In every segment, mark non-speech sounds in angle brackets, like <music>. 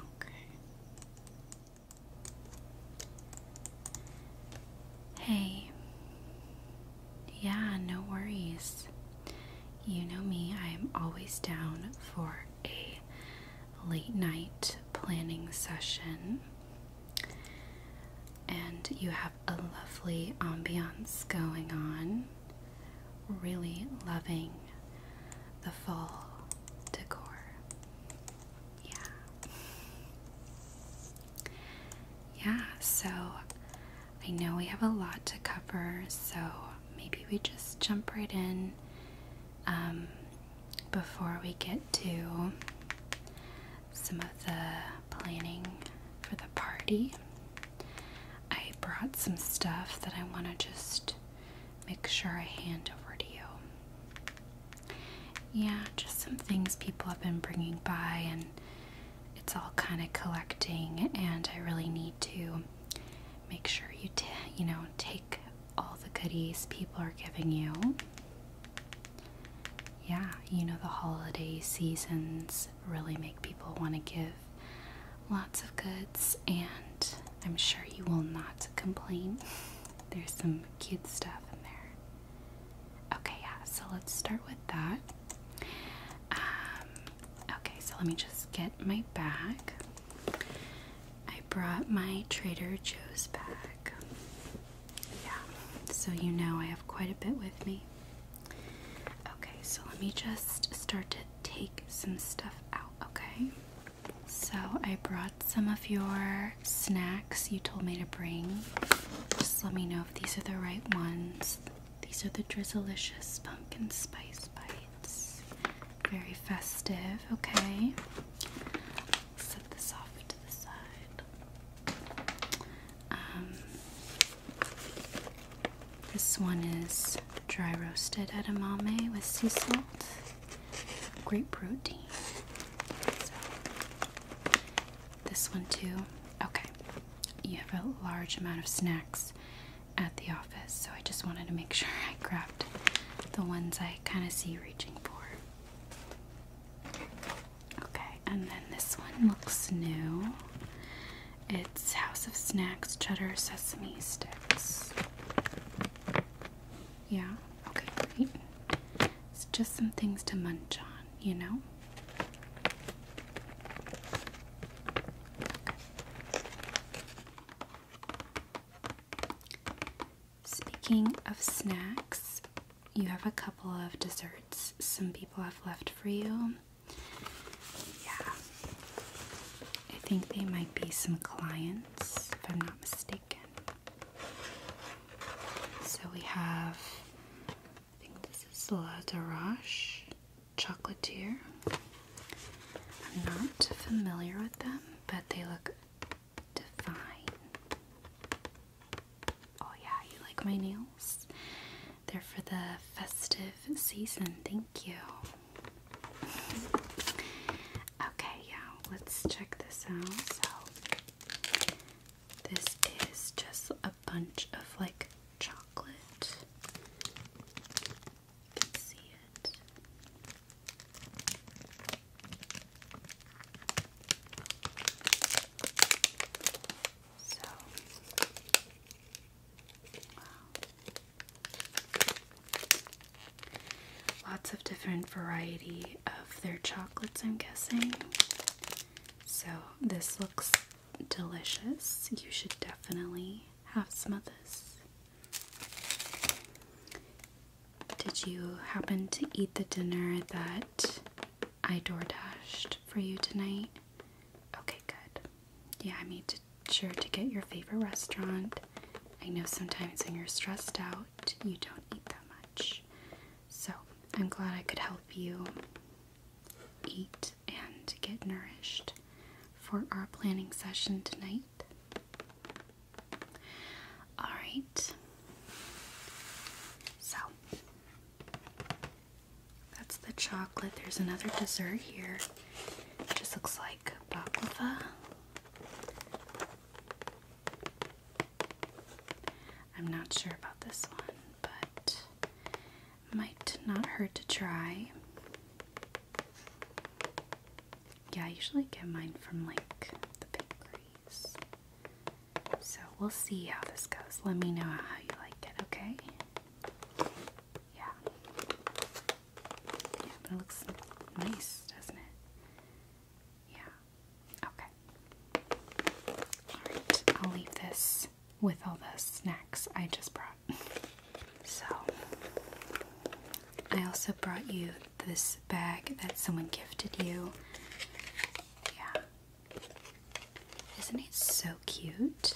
Okay. Hey. Yeah, no worries. You know me, I'm always down for a late night planning session. And you have a lovely ambiance going on. Really loving the fall decor. Yeah. Yeah, so I know we have a lot to cover, so maybe we just jump right in um, before we get to some of the planning for the party. I brought some stuff that I want to just make sure I hand over to you. Yeah, just some things people have been bringing by, and it's all kind of collecting, and I really need to make sure you, you know, take all the goodies people are giving you. Yeah, you know, the holiday season's really make people want to give lots of goods, and I'm sure you will not complain. <laughs> There's some cute stuff in there. Okay, yeah, so let's start with that. Um, okay, so let me just get my bag. I brought my Trader Joe's bag. Yeah, so you know I have quite a bit with me. Okay, so let me just start to take some stuff out, okay? So I brought some of your snacks you told me to bring. Just let me know if these are the right ones. These are the Drizzlicious Pumpkin Spice Bites. Very festive, okay? Set this off to the side. Um, this one is dry roasted edamame with sea salt, great protein. this one too. Okay, you have a large amount of snacks at the office, so I just wanted to make <laughs> sure I grabbed the ones I kind of see reaching for. Okay, and then this one looks new. It's House of Snacks Cheddar Sesame Sticks. Yeah, okay, great. It's just some things to munch on, you know? Speaking of snacks, you have a couple of desserts some people have left for you. Yeah. I think they might be some clients, if I'm not mistaken. So we have, I think this is La Darache Chocolatier. I'm not familiar with them, but they look divine. Oh, yeah, you like my nails? They're for the festive season. Thank you. Okay, yeah, let's check this out. So, this is just a bunch of like chocolate. can see it. So, Lots of different variety of their chocolates, I'm guessing. So, this looks delicious. You should definitely have some of this. Did you happen to eat the dinner that I door dashed for you tonight? Okay, good. Yeah, I made sure to get your favorite restaurant. I know sometimes when you're stressed out, you don't eat that much. So I'm glad I could help you eat and get nourished for our planning session tonight. Alright. So, that's the chocolate. There's another dessert here. It just looks like baklava. I'm not sure about this one, but might not hurt to try. Yeah, I usually get mine from like the bakeries. So we'll see how this goes. Let me know how you like it, okay? Yeah. Yeah, it looks nice, doesn't it? Yeah. Okay. Alright, I'll leave this with all the snacks I just brought. so, I also brought you this bag that someone gifted you. Yeah. Isn't it so cute?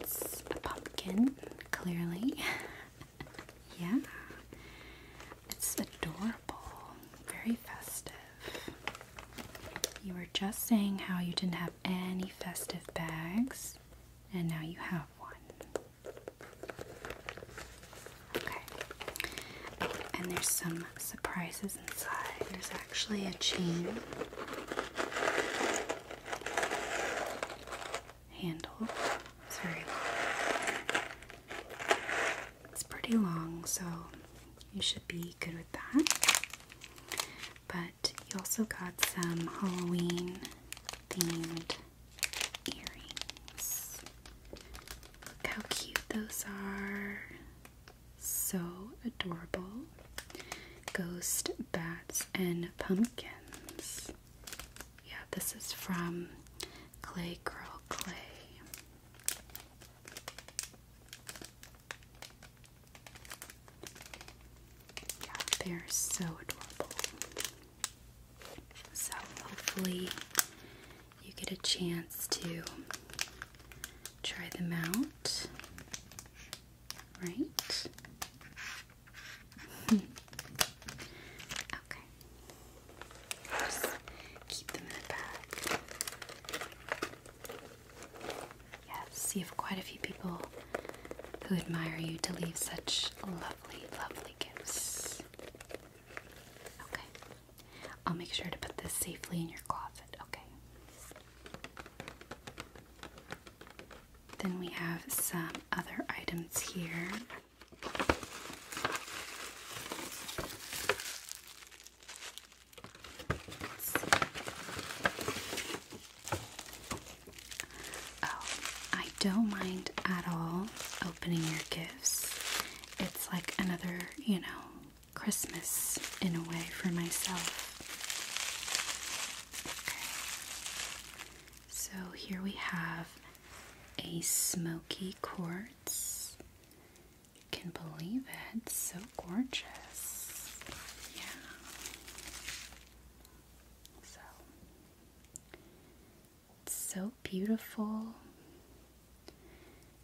It's a pumpkin, clearly. <laughs> yeah. It's adorable. Very festive. You were just saying how you didn't have any festive bags, and now you have one. Okay. Oh, and there's some surprises there's actually a chain handle. It's pretty long, so you should be good with that. But you also got some Halloween themed earrings. Look how cute those are. So adorable. Ghost Bats and Pumpkins. Yeah, this is from Clay Girl Clay. Yeah, they're so adorable. So hopefully you get a chance to try them out right? <laughs> okay. Just keep them in the bag. Yes, you have quite a few people who admire you to leave such lovely, lovely gifts. Okay. I'll make sure to put this safely in your closet, okay? Then we have some other items here. Oh, I don't mind at all opening your gifts. It's like another, you know, Christmas in a way for myself. So here we have a smoky quartz. You can believe it, so gorgeous. Yeah. So so beautiful.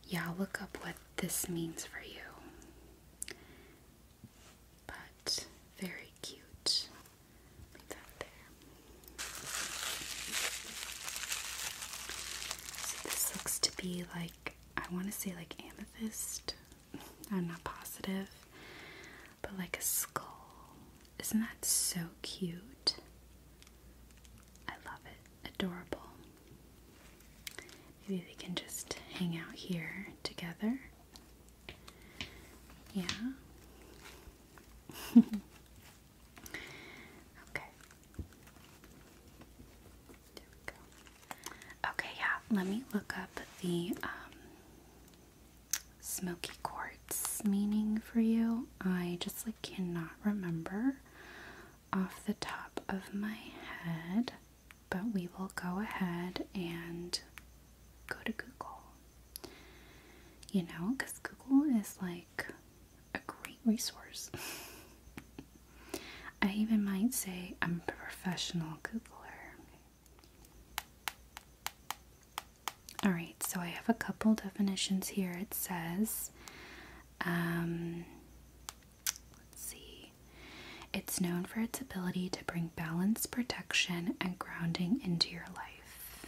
Yeah, look up what this means for you but very cute. So this looks to be like I want to say like amethyst. I'm not positive, but like a skull. Isn't that so cute? I love it. Adorable. Maybe we can just hang out here together. Yeah. <laughs> okay. Okay, yeah. Let me look up the um, smoky quartz meaning for you. I just like cannot remember off the top of my head but we will go ahead and go to Google. You know, because Google is like a great resource. <laughs> I even might say I'm a professional Googler. Alright, so I have a couple definitions here. It says um, Let's see. It's known for its ability to bring balance, protection, and grounding into your life.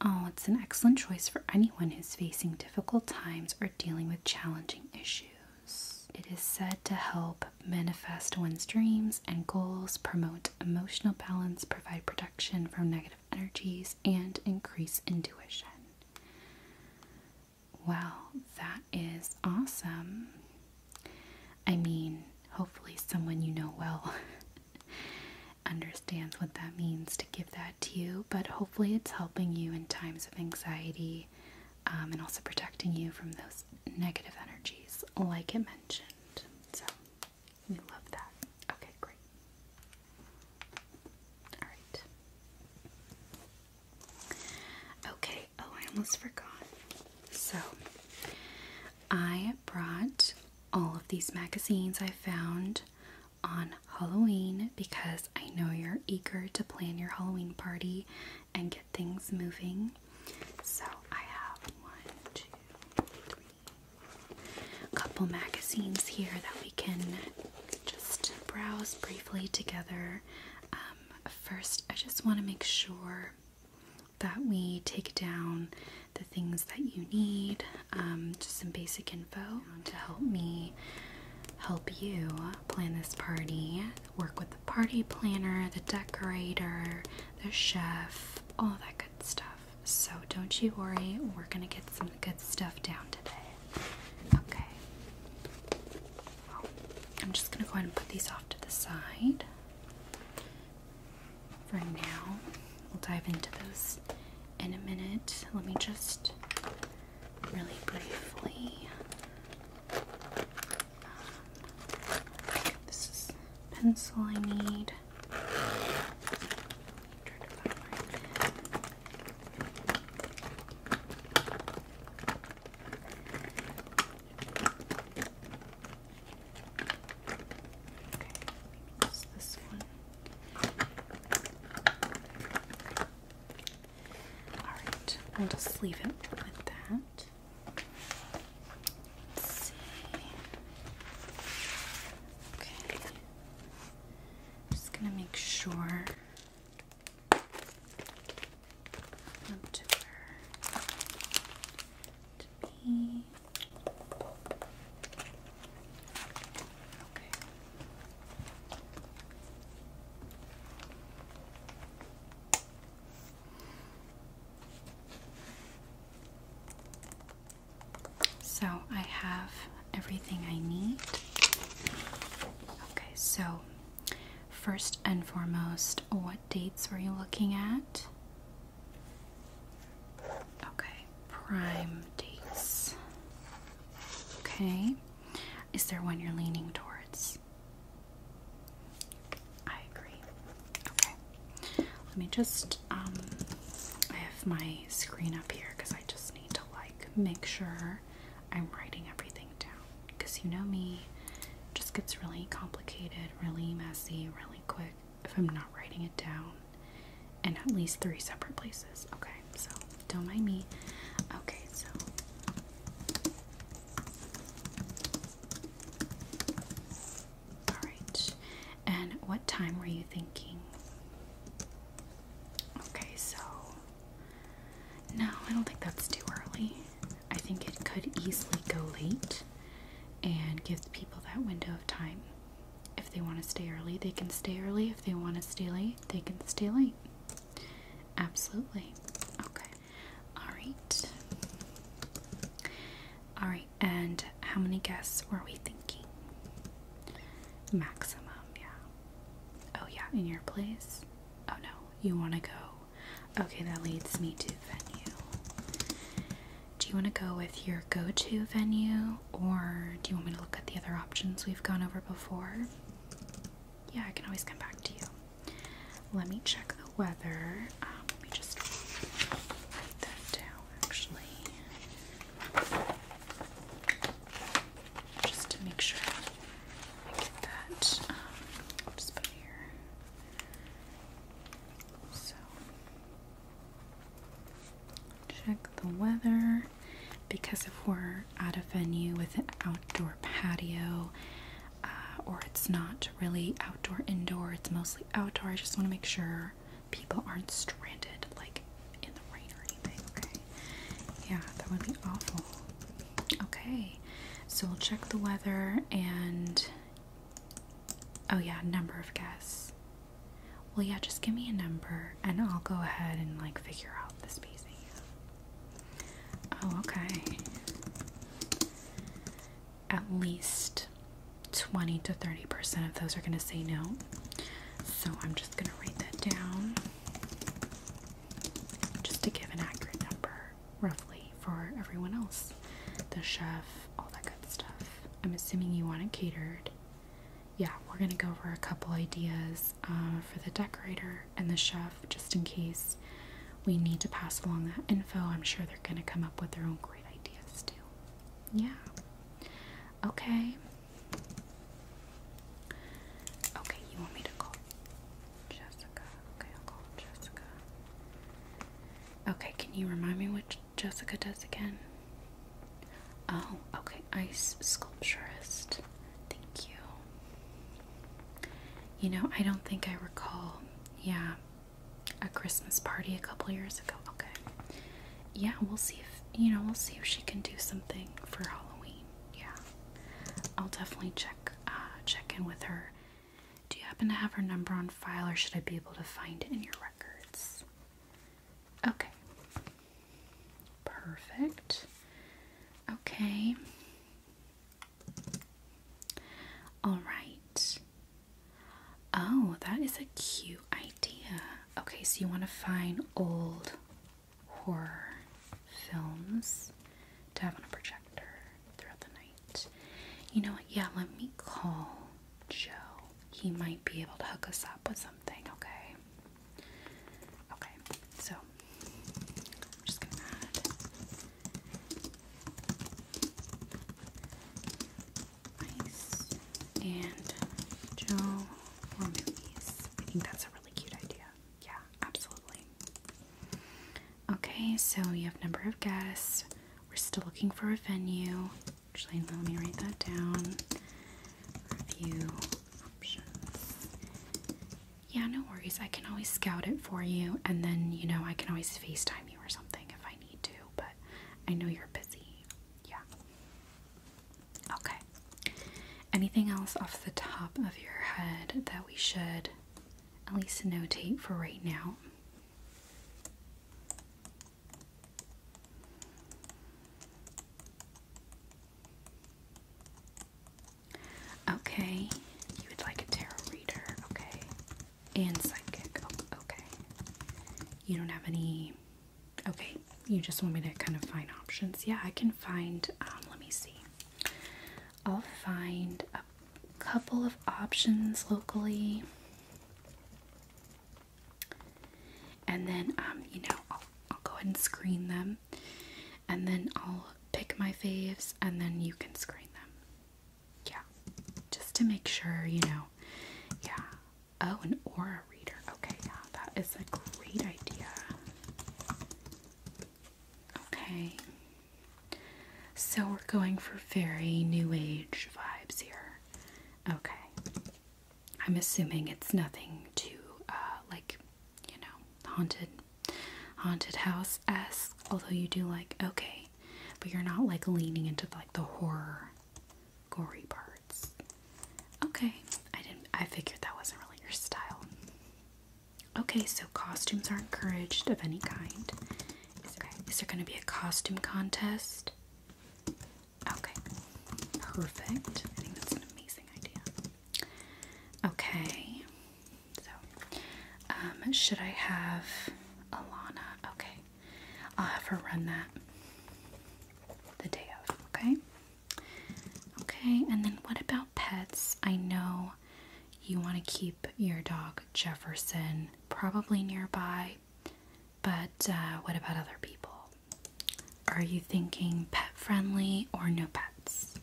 Oh, it's an excellent choice for anyone who's facing difficult times or dealing with challenging issues. It is said to help manifest one's dreams and goals, promote emotional balance, provide protection from negative energies, and increase intuition. Well, that is awesome. I mean, hopefully, someone you know well <laughs> understands what that means to give that to you, but hopefully, it's helping you in times of anxiety um, and also protecting you from those negative energies, like it mentioned. So, we love that. Okay, great. All right. Okay, oh, I almost forgot. So, I brought all of these magazines I found on Halloween because I know you're eager to plan your Halloween party and get things moving. So, I have one, two, three, a couple magazines here that we can just browse briefly together. Um, um, first, I just want to make sure that we take down the things that you need, um, just some basic info to help me help you plan this party. Work with the party planner, the decorator, the chef, all that good stuff. So don't you worry, we're gonna get some good stuff down today. Okay. I'm just going to go ahead and put these off to the side. For now, we'll dive into those in a minute. Let me just really briefly. Um, this is pencil I need. Alright, we'll just leave it with that. Okay. I'm just gonna make sure so I have everything I need. Okay, so first and foremost, what dates were you looking at? Okay, prime dates. Okay, is there one you're leaning towards? I agree. Okay, let me just, um, I have my screen up here because I just need to like make sure I'm writing everything down because you know me, it just gets really complicated, really messy, really quick if I'm not writing it down in at least three separate places. Okay, so don't mind me. Okay, so. Alright, and what time were you thinking? Okay, so. No, I don't think that's too early. I think it could easily go late and give people that window of time. If they want to stay early, they can stay early. If they want to stay late, they can stay late. Absolutely. Okay. Alright. Alright, and how many guests were we thinking? Maximum, yeah. Oh, yeah, in your place? Oh no, you want to go Okay, that leads me to venue. Do you want to go with your go to venue or do you want me to look at the other options we've gone over before? Yeah, I can always come back to you. Let me check the weather. Um, let me just write that down actually. Just to make sure I get that. Um, just put here. So check the weather because if we're at a venue with an outdoor patio uh, or it's not really outdoor indoor, it's mostly outdoor. I just want to make sure people aren't stranded like in the rain or anything. Okay, yeah, that would be awful. Okay, so we'll check the weather and Oh, yeah, number of guests. Well, yeah, just give me a number and I'll go ahead and like figure out the spacing. Oh, okay. At least 20 to 30% of those are going to say no. So I'm just going to write that down just to give an accurate number roughly for everyone else the chef, all that good stuff. I'm assuming you want it catered. Yeah, we're gonna go over a couple ideas uh, for the decorator and the chef just in case we need to pass along that info. I'm sure they're gonna come up with their own great ideas too. Yeah. Okay. Okay, you want me to call? Jessica. Okay, I'll call Jessica. Okay, can you remind me what Jessica does again? Oh, okay, ice sculpturist. Thank you. You know, I don't think I recall. Yeah, a Christmas party a couple years ago. Okay. Yeah, we'll see if, you know, we'll see if she can do something for Halloween. Yeah. I'll definitely check uh check in with her do you happen to have her number on file or should I be able to find it in your records? Okay. Perfect. Okay. All right. Oh, that is a cute idea. Okay, so you want to find old horror films to have on a projector throughout the night. You know what? Yeah, let me call Joe. He might be able to hook us up with something, okay? Okay, so just gonna add ice and Joe or movies. I think that's a really cute idea. Yeah, absolutely. Okay, so you have number of guests. We're still looking for a venue. Actually, let me write that down. Review options. Yeah, no worries. I can always scout it for you, and then, you know, I can always FaceTime you or something if I need to, but I know you're busy. Yeah. Okay. Anything else off the top of your head that we should at least notate for right now? Okay, you would like a tarot reader, okay, and psychic, oh, okay. You don't have any, okay, you just want me to kind of find options. Yeah, I can find, um, let me see. I'll find couple of options locally. And then, um, you know, I'll, I'll go ahead and screen them. And then I'll pick my faves, and then you can screen them. Yeah. Just to make sure, you know. Yeah. Oh, an aura reader. Okay, yeah, that is a great idea. Okay. So we're going for very new age vibes here. Okay. I'm assuming it's nothing too uh, like, you know, haunted haunted house esque, although you do like okay, but you're not like leaning into like the horror gory parts. Okay. I didn't I figured that wasn't really your style. Okay, so costumes are encouraged of any kind. Is there going to be a costume contest? Okay. Perfect. I think that's an amazing idea. Okay. So, um, should I have Alana? Okay. I'll have her run that the day of. Okay. Okay. And then what about pets? I know you want to keep your dog Jefferson, probably nearby, but uh, what about other people? Are you thinking pet friendly or no pets?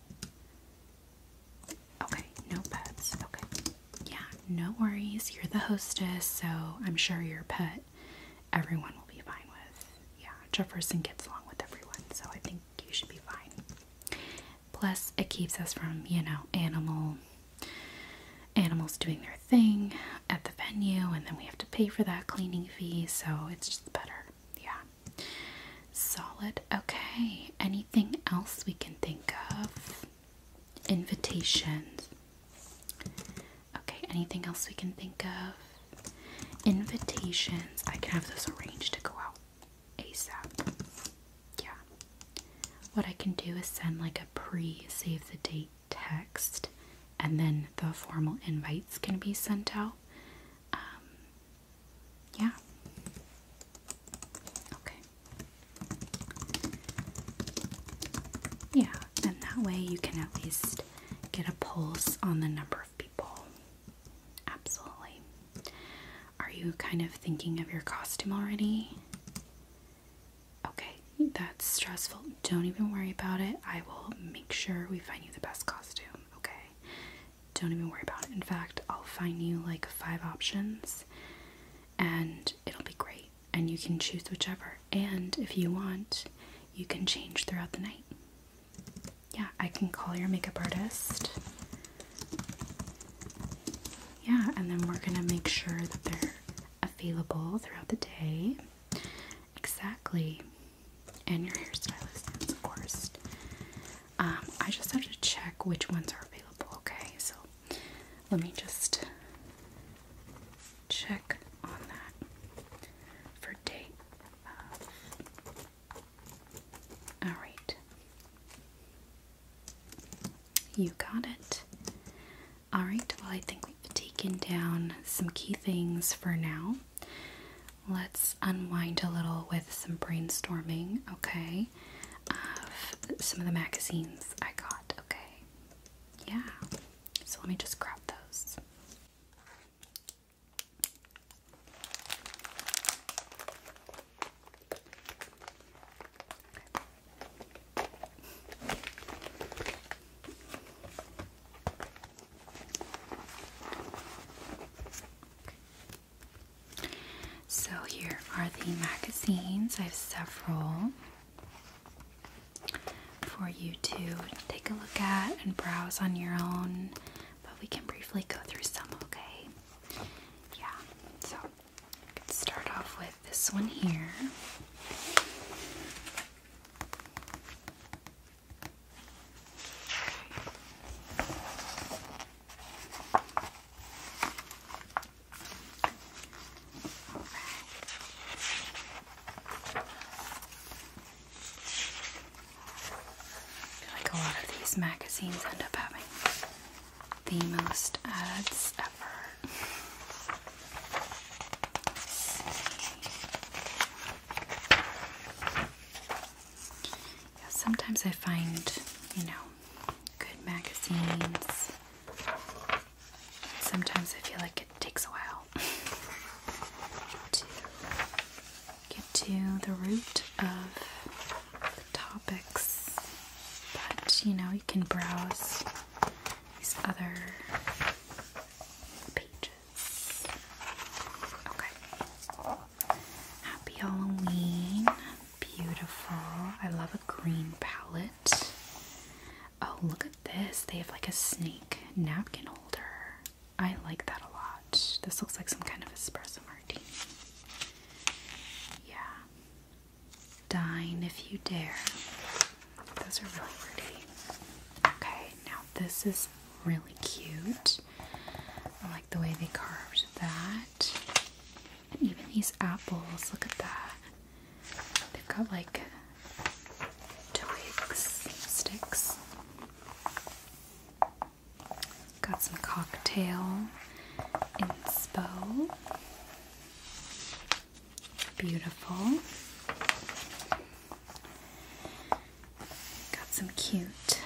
Okay, no pets. Okay. Yeah, no worries. You're the hostess, so I'm sure your pet everyone will be fine with. Yeah, Jefferson gets along with everyone, so I think you should be fine. Plus, it keeps us from, you know, animal animals doing their thing at the venue and then we have to pay for that cleaning fee, so it's just better. Yeah. Solid. Okay. Anything else we can think of? Invitations. Okay, anything else we can think of? Invitations. I can have this arranged to go out ASAP yeah. What I can do is send like a pre save the date text, and then the formal invites can be sent out. Um, yeah. Okay. Yeah, and that way you can at least get a pulse on the number of people. Absolutely. Are you kind of thinking of your costume already? Okay, that's stressful. Don't even worry about it. I will make sure we find you the best costume, okay? Don't even worry about it. In fact, I'll find you like five options and it'll be great. And you can choose whichever. And if you want, you can change throughout the night. Yeah, I can call your makeup artist yeah, and then we're gonna make sure that they're available throughout the day. Exactly. And your hairstylist is, of course. Um, I just have to check which ones are available, okay? So let me just check on that for date. All right. You got it. All right, well, I think we've taken down some key things for now. Let's unwind a little with some brainstorming, okay? some of the magazines I got, okay? Yeah. So let me just grab those. So here are the magazines. I have several for you to take a look at and browse on your own, but we can briefly go through some, okay? Yeah, so I could start off with this one here. like a lot of these magazines end up having the most ads ever. sometimes I find, you know, good magazines. Sometimes I feel like it takes a while <laughs> to get to the root of the topics, but you know, you can browse these other pages. Okay. Happy Halloween. Beautiful. I love a green palette. Oh, look at this. They have like a snake napkin holder. I like that a lot. This looks like some kind of espresso martini. Yeah. Dine if you dare. Those are really pretty. Okay, now this is really cute. I like the way they carved that. And even these apples, look at that. They've got like twigs, sticks. Got some cocktail in inspo. Beautiful. Got some cute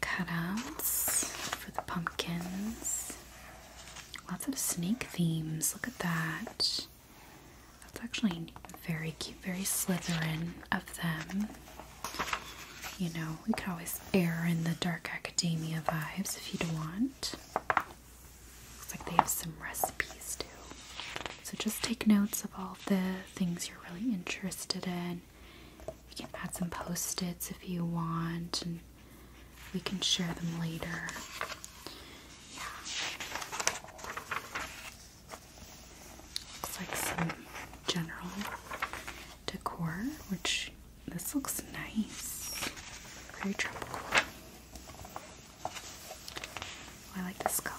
cutouts for the pumpkins. Lots of snake themes. Look at that. That's actually very cute, very Slytherin of them. You know, we could always air in the dark academia vibes if you'd want. Looks like they have some recipes too. So just take notes of all the things you're really interested in. You can add some post-its if you want, and we can share them later. Yeah. Looks like some general decor, which this looks nice. Very tropical. Oh, I like this color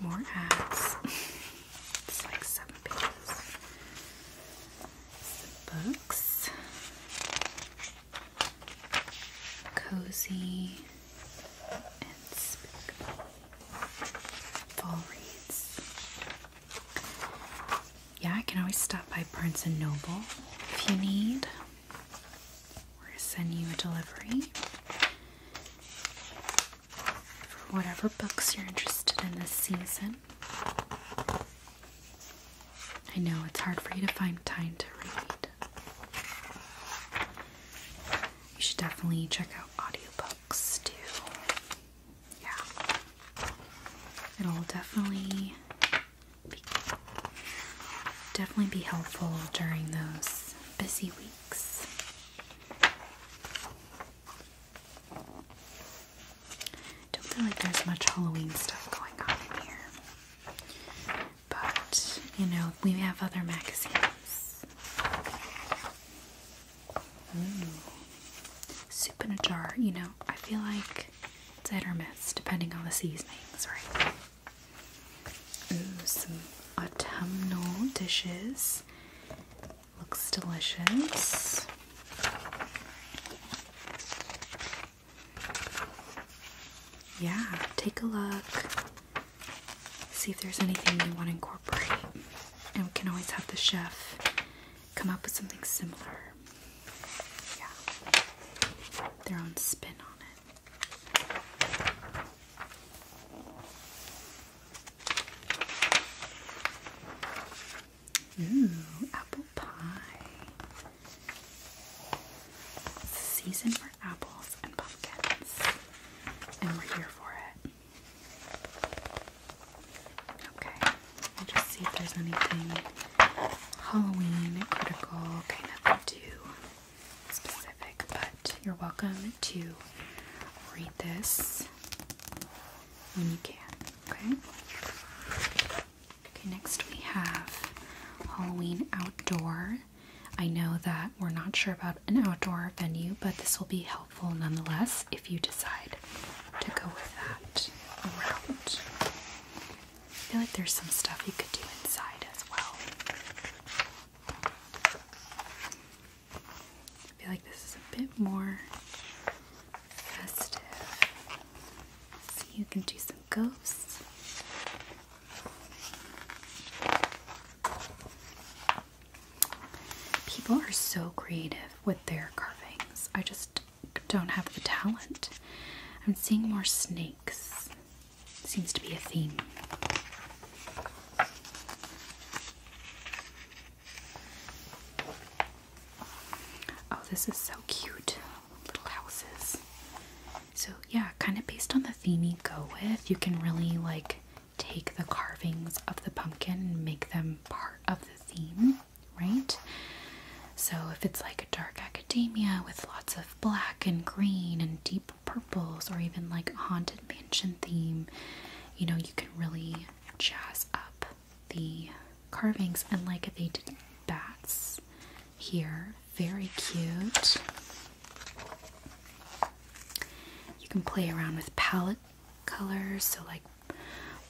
more ads. <laughs> it's like seven Books. Cozy and Fall reads. Yeah, I can always stop by Barnes & Noble if you need. we Or send you a delivery. For whatever books you're interested in this season. I know it's hard for you to find time to read. You should definitely check out audiobooks too. Yeah. It'll definitely definitely be helpful during those busy weeks. Don't feel like there's much Halloween stuff going on in here, but you know, we have other magazines. Soup in a jar, you know, I feel like it's hit or miss depending on the seasonings, right? some autumnal dishes. Looks delicious. Yeah, take a look. See if there's anything you want to incorporate. And we can always have the chef come up with something similar. Yeah. Their own spin on it. Ooh, apple pie. season for apples and pumpkins. And we're here for it. Okay. Let will just see if there's anything Halloween critical, okay, nothing too specific, but you're welcome to read this when you can, okay? Okay, next we have Halloween Outdoor. I know that we're not sure about an outdoor venue, but this will be helpful nonetheless if you decide to go with that route. I feel like there's some stuff you could do inside as well. I feel like this is a bit more festive. you can do some ghosts. People are so creative with their carvings. I just don't have the talent. I'm seeing more snakes. Seems to be a theme. Oh, this is so cute. Little houses. So, yeah, kind of based on the theme you go with, you can really like take the carvings of the pumpkin and make them part of the theme right? So if it's like a dark academia with lots of black and green and deep purples or even like a haunted mansion theme, you know, you can really jazz up the carvings and like they did bats here, very cute. You can play around with palette colors, so like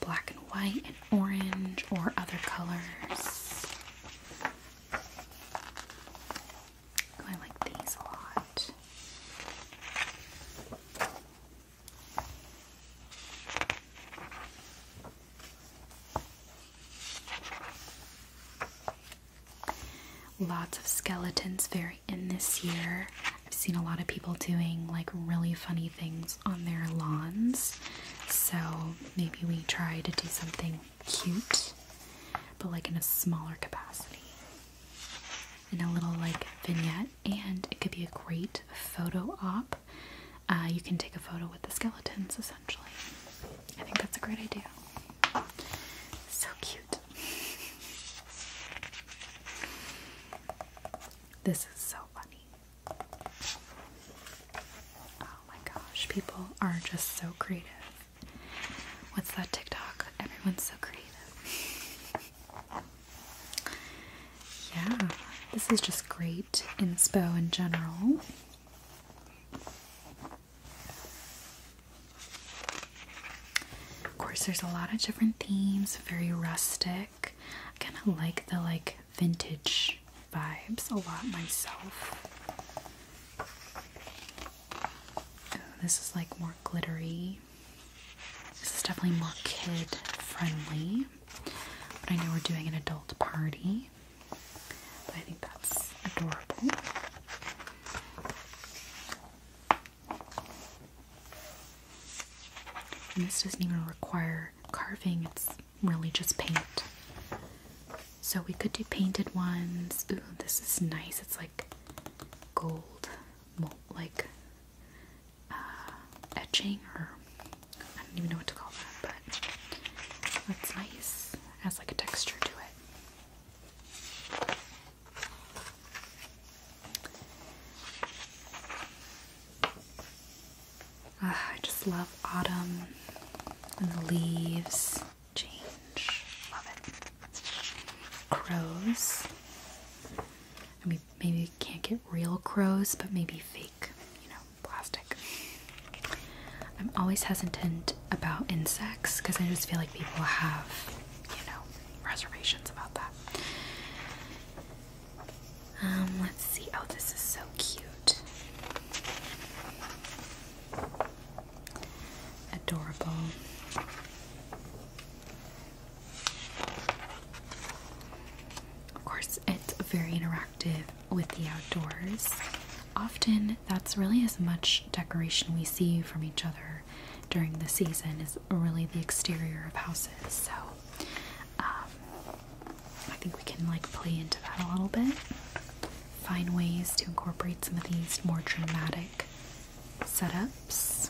black and white and orange or other colors. I like these a lot. Lots of skeletons very in this year. I've seen a lot of people doing like really funny things on their lawns. So maybe we try to do something cute, but like in a smaller capacity. In a little like vignette, and it could be a great photo op. Uh, you can take a photo with the skeletons essentially. I think that's a great idea. So cute. <laughs> This is so funny. Oh my gosh, people are just so creative. What's that TikTok? Everyone's so creative. <laughs> yeah, this is just great inspo in general. Of course, there's a lot of different themes, very rustic. I kind of like the like vintage vibes a lot myself. Oh, this is like more glittery. This is definitely more kid friendly. But I know we're doing an adult party. But I think that's adorable. this doesn't even require carving, it's really just paint. So we could do painted ones. Ooh, this is nice. It's like gold, like uh, etching, or I don't even know what to call that, but that's nice. It has like a texture to it. Ah, I just love autumn and the leaves change. Love it. Crows. I mean, maybe we can't get real crows, but maybe fake, you know, plastic. I'm always hesitant about insects because I just feel like people have, you know, reservations about that. Um, let's see. Oh, this is so cute. Adorable. Of course, it's very interactive with the outdoors. Often, that's really as much decoration we see from each other during the season is really the exterior of houses. So, um, I think we can like play into that a little bit. Find ways to incorporate some of these more dramatic setups.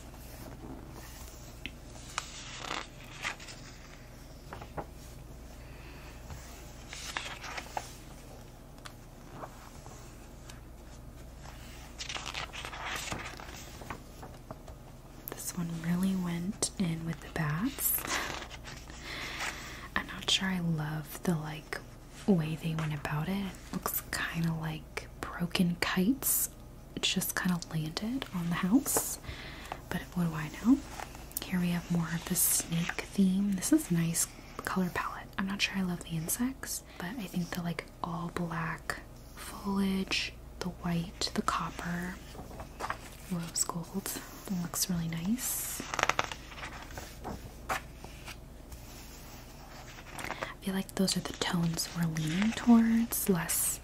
This one really went in with the bats. <laughs> I'm not sure I love the like way they went about it. looks kind of like broken kites just kind of landed on the house. But what do I know? Here we have more of the snake theme. This is nice color palette. I'm not sure I love the insects, but I think the like all black foliage, the white, the copper, rose gold. looks really nice. I feel like those are the tones we're leaning towards, less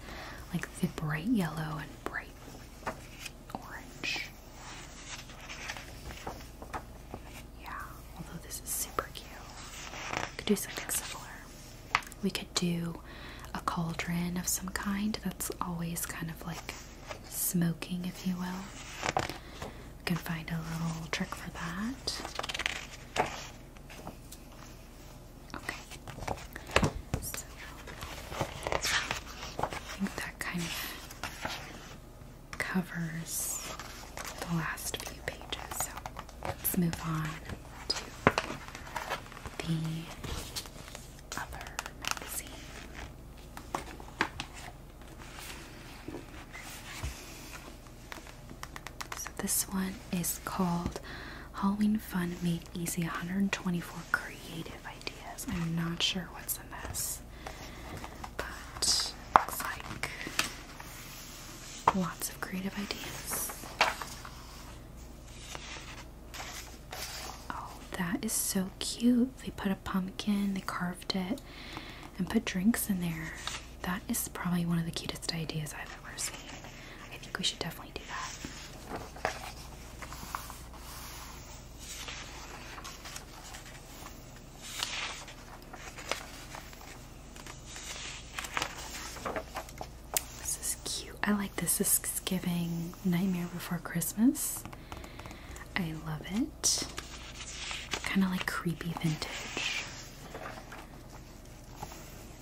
like the bright yellow and bright orange. Yeah, although this is super cute. We could do something similar. We could do a cauldron of some kind that's always kind of like smoking, if you will. We can find a little trick for that. Okay. So I think that kind of covers the last few pages. So let's move on to the this one is called Halloween Fun Made Easy 124 Creative Ideas. I'm not sure what's in this, but looks like lots of creative ideas. Oh, that is so cute. They put a pumpkin, they carved it, and put drinks in there. That is probably one of the cutest ideas I've ever seen. I think we should definitely do that. This is cute. I like this. This is giving Nightmare Before Christmas. I love it. Kind of like creepy vintage.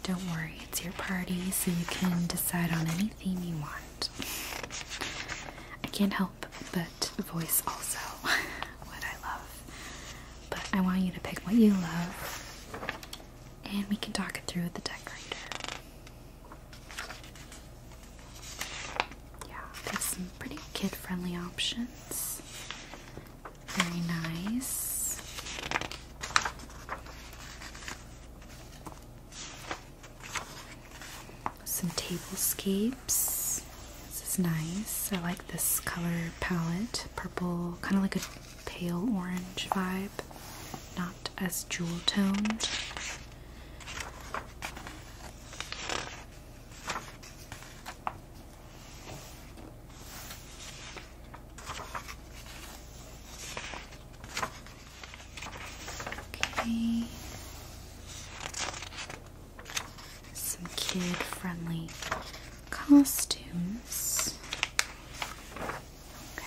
Don't worry, it's your party, so you can decide on any theme you want. I can't help but voice also <laughs> what I love. But I want you to pick what you love, and we can talk it through with the decorator. Yeah, some pretty kid friendly options. Very nice. Some tablescapes. This is nice. I like this color palette. Purple, kind of like a pale orange vibe. Not as jewel toned. Okay. Some kid-friendly costumes. Okay.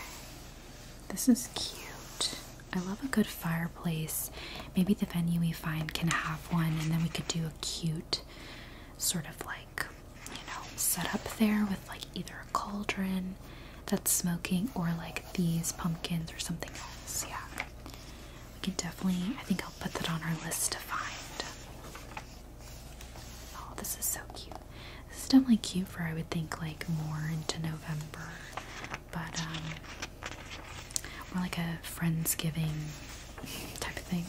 This is cute. I love a good fireplace. Maybe the venue we find can have one, and then we could do a cute sort of like, you know, setup there with like either a cauldron that's smoking or like these pumpkins or something else. Yeah. We can definitely, I think I'll put that on our list to find. Oh, this is so cute. This is definitely cute for, I would think, like more into November. But, um, more like a friendsgiving type of thing.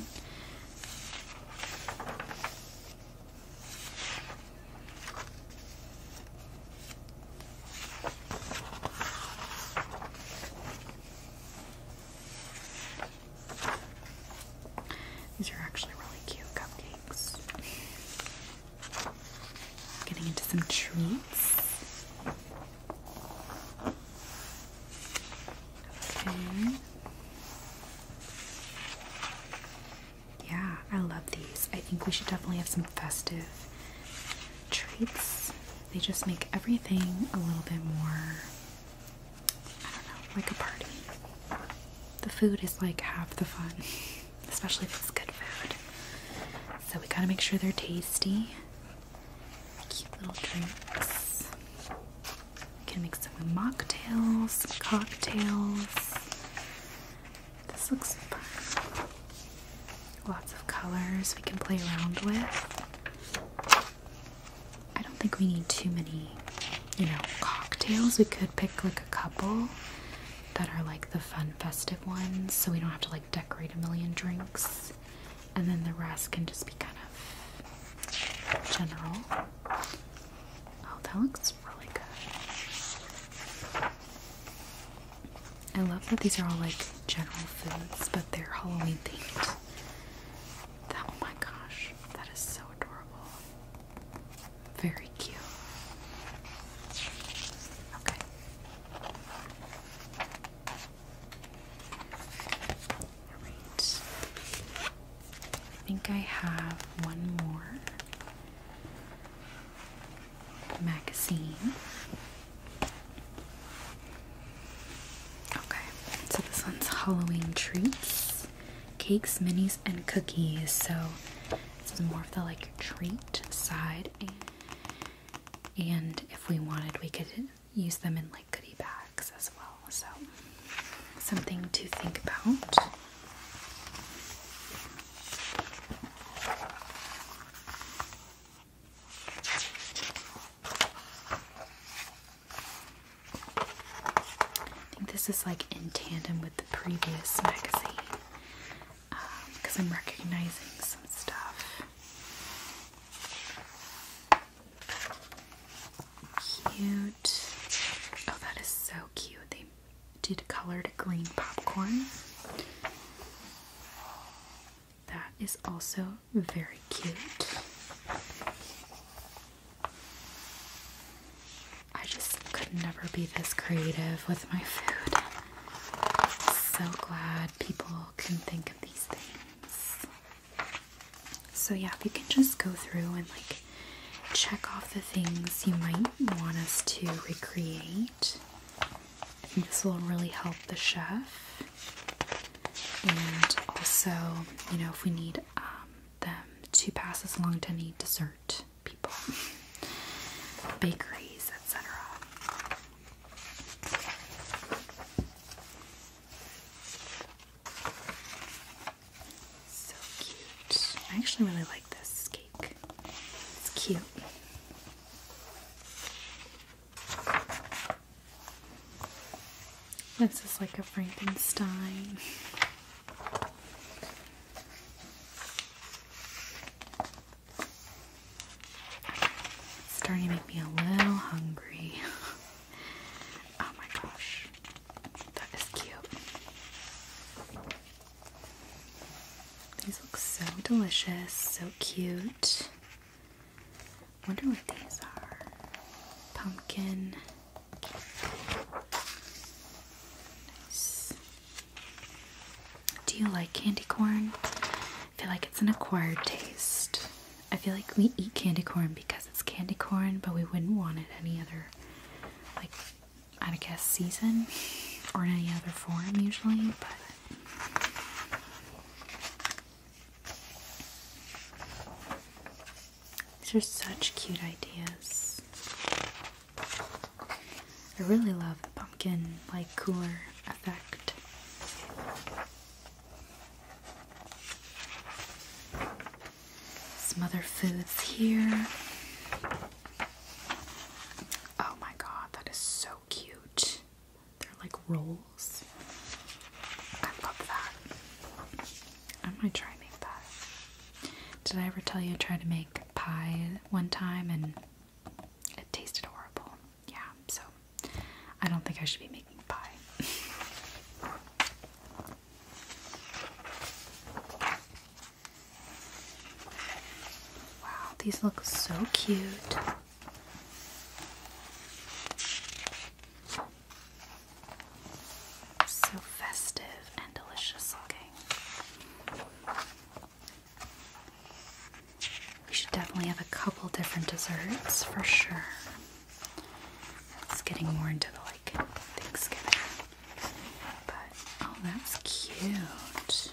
These are actually really cute cupcakes. Getting into some treats. Okay. Yeah, I love these. I think we should definitely have some festive treats. They just make everything a little bit more, I don't know, like a party. The food is like half the fun, <laughs> especially if it's good food. So we gotta make sure they're tasty cute little drinks. You can mix up with mocktails, cocktails. This looks fun. Lots of colors we can play around with. I don't think we need too many, you know, cocktails. We could pick like a couple that are like the fun festive ones so we don't have to like decorate a million drinks and then the rest can just be kind of general. Oh, that looks really good. I love that these are all like general foods, but they're Halloween themed. That, oh my gosh, that is so adorable. Very cute. Okay. I think I have one more magazine. Okay, so this one's Halloween treats, cakes, minis, and cookies. So this is more of the like treat side and if we wanted we could use them in like goodie bags as well so something to think about I think this is like in tandem with the previous magazine because um, I'm recognizing some stuff Cute. Oh, that is so cute. They did colored green popcorn. That is also very cute. I just could never be this creative with my food. So glad people so, yeah, if you can just go through and like check off the things you might want us to recreate, this will really help the chef. And also, you know, if we need um, them to pass us along to any dessert people, <laughs> bakeries, etc. So cute. I actually really like this cake. It's cute. This is like a Frankenstein. It's starting to make me a little hungry. <laughs> oh my gosh. That is cute. These look so delicious, so cute. Wonder what these are. Pumpkin. Do you like candy corn? I feel like it's an acquired taste. I feel like we eat candy corn because it's candy corn, but we wouldn't want it any other, like, out of season or in any other form usually, but. These are such cute ideas. I really love the pumpkin like cooler effect. Some other foods here. Oh my god, that is so cute. They're like rolls. I love that. I might try and make that. Did I ever tell you I tried to make pie one time and it tasted horrible? yeah, so I don't think I should be making pie. <laughs> wow, these look so cute. So festive and delicious looking. We should definitely have a couple different desserts for sure. It's getting more into the like Thanksgiving. But oh, that's cute.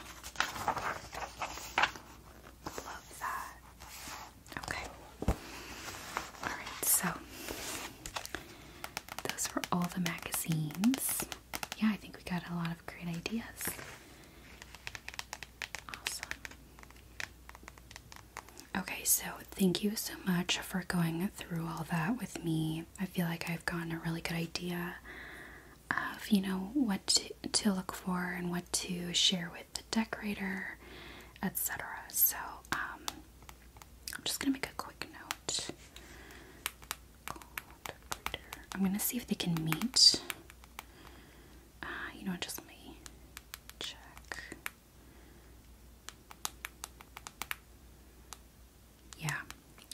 Love that. Okay. Alright, so those were all the magazines. Yeah, I think we got a lot of great ideas. Awesome. Okay, so thank you so much for going through all that with me. I feel like I've gotten a really good idea of, you know, what to, look for and what to share with the decorator, etc. So, um, I'm just gonna make a quick note. I'm gonna see if they can meet. Ah, you know, just me check. Yeah,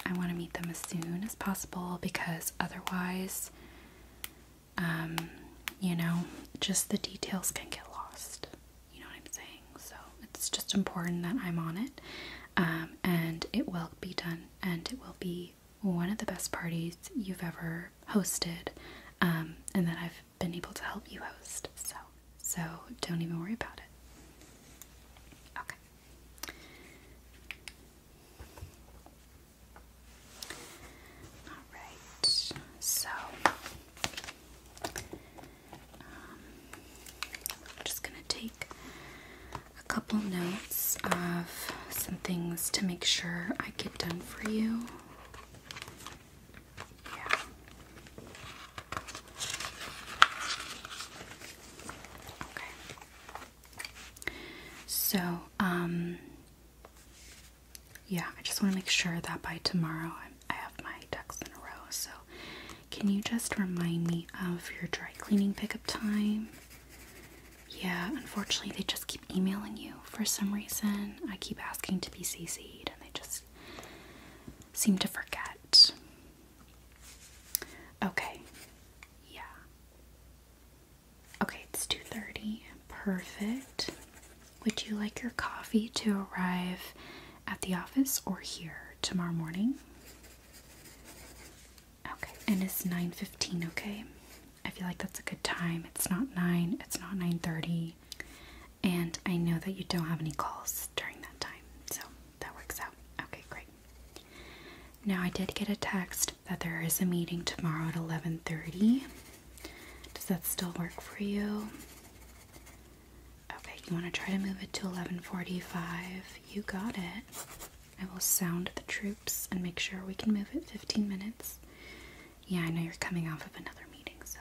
I want to meet them as soon as possible because otherwise, um, you know, just the details can get lost. You know what I'm saying? So it's just important that I'm on it, um, and it will be done, and it will be one of the best parties you've ever hosted um, and that I've been able to help you host. So, so don't even worry about it. Okay. All right. So, I'm um, just gonna take a couple notes of some things to make sure I get done for you so, um, yeah, I just want to make sure that by tomorrow i I have my ducks in a row. So, can you just remind me of your dry cleaning pickup time? Yeah, unfortunately, they just keep emailing you. For some reason, I keep asking to be CC'd and they just seem to forget. Okay. Yeah. Okay, it's 2:30. Perfect. Would you like your coffee to arrive at the office or here tomorrow morning? Okay. And it's 9:15, okay? I feel like that's a good time. It's not 9, it's not 9:30, and I know that you don't have any calls during that time. So, that works out. Okay, great. Now, I did get a text that there is a meeting tomorrow at 11:30. Does that still work for you? Okay, you want to try to move it to 11:45. You got it. I will sound the troops and make sure we can move it 15 minutes. Yeah, I know you're coming off of another meeting, so.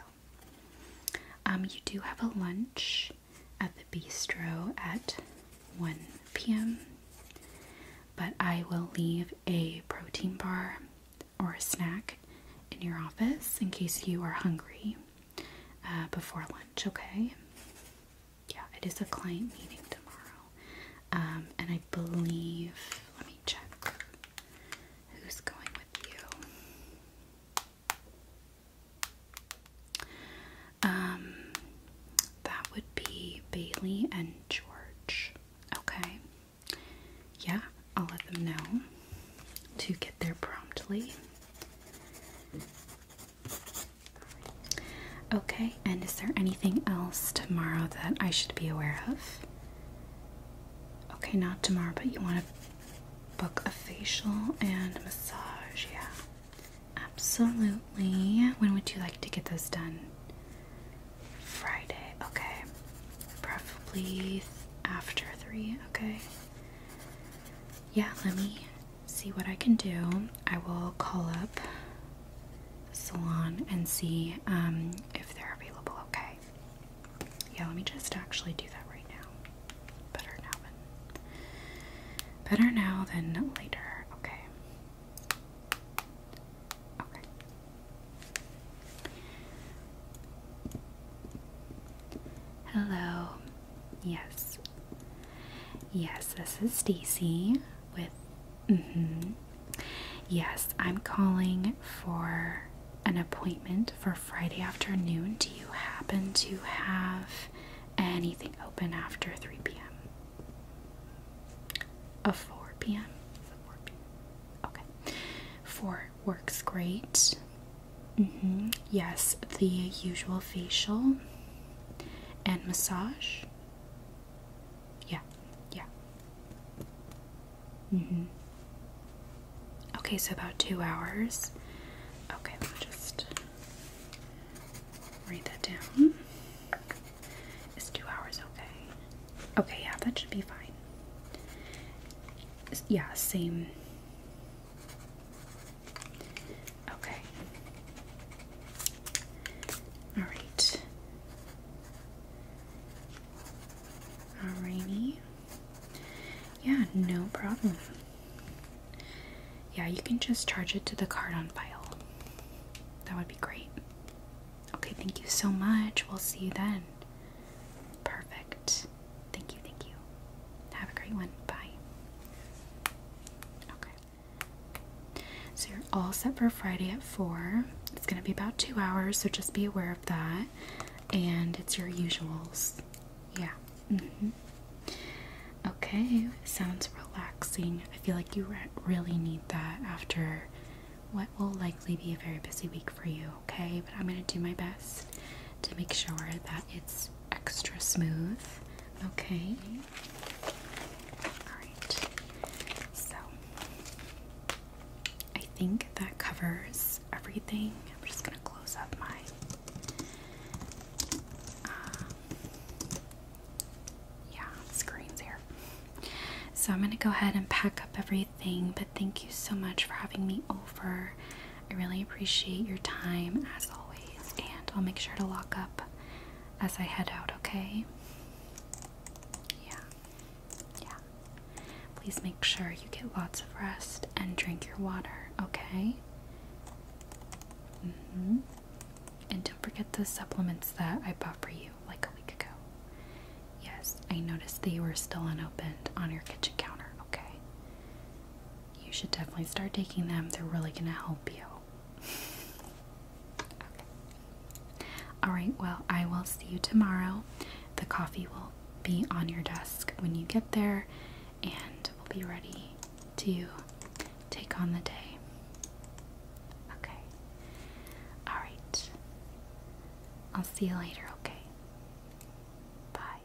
Um, you do have a lunch at the bistro at 1 p.m., but I will leave a protein bar or a snack in your office in case you are hungry uh, before lunch, okay? Yeah, it is a client meeting tomorrow. Um, and I believe, let me check. Who's going with you? Um, that would be Bailey and George. Okay. Yeah, I'll let them know to get there promptly. Okay, and is there anything else tomorrow that I should be aware of? Okay, not tomorrow, but you want to book a facial and massage. Yeah, absolutely. When would you like to get those done? Friday. Okay, Probably after three. Okay. Yeah, let me see what I can do. I will call up the salon and see um, if they're available. Okay. Yeah, let me just actually do that right now. Better now than better now than later. Okay. Okay. Hello. Yes. Yes, this is Stacy with hmm Yes, I'm calling for an appointment for Friday afternoon. Do you happen to have anything open after 3 p.m.? A 4 p.m. Okay. 4 works great. Mm-hmm. Yes, the usual facial and massage. Yeah, yeah. Mm hmm. Okay, so about two hours. Okay, let me just write that down. Is two hours okay? Okay, yeah, that should be fine. Yeah, same. Okay. All right. Alrighty. Yeah, no problem. Yeah, you can just charge it to the card on file. That would be great. Okay, thank you so much. We'll see you then. Perfect. Thank you, thank you. Have a great one. Bye. Okay. So you're all set for Friday at 4. It's going to be about two hours, so just be aware of that. And it's your usuals. Yeah. Mm-hmm. Okay, sounds relaxing. I feel like you really need that after what will likely be a very busy week for you, okay? But I'm going to do my best to make sure that it's extra smooth, okay? Alright, so I think that covers everything. I'm just gonna close up my. Um, yeah, screens here. So I'm gonna go ahead and pack up everything. But thank you so much for having me over. I really appreciate your time as always, and I'll make sure to lock up as I head out. Okay. Yeah. Yeah. Please make sure you get lots of rest and drink your water, okay? Mm-hmm. And don't forget the supplements that I bought for you like a week ago. Yes, I noticed they were still unopened on your kitchen counter, okay? You should definitely start taking them, they're really gonna help you. <laughs> okay. Alright, well, I will see you tomorrow. The coffee will be on your desk when you get there and we will be ready to take on the day. Okay. Alright. I'll see you later, okay? Bye.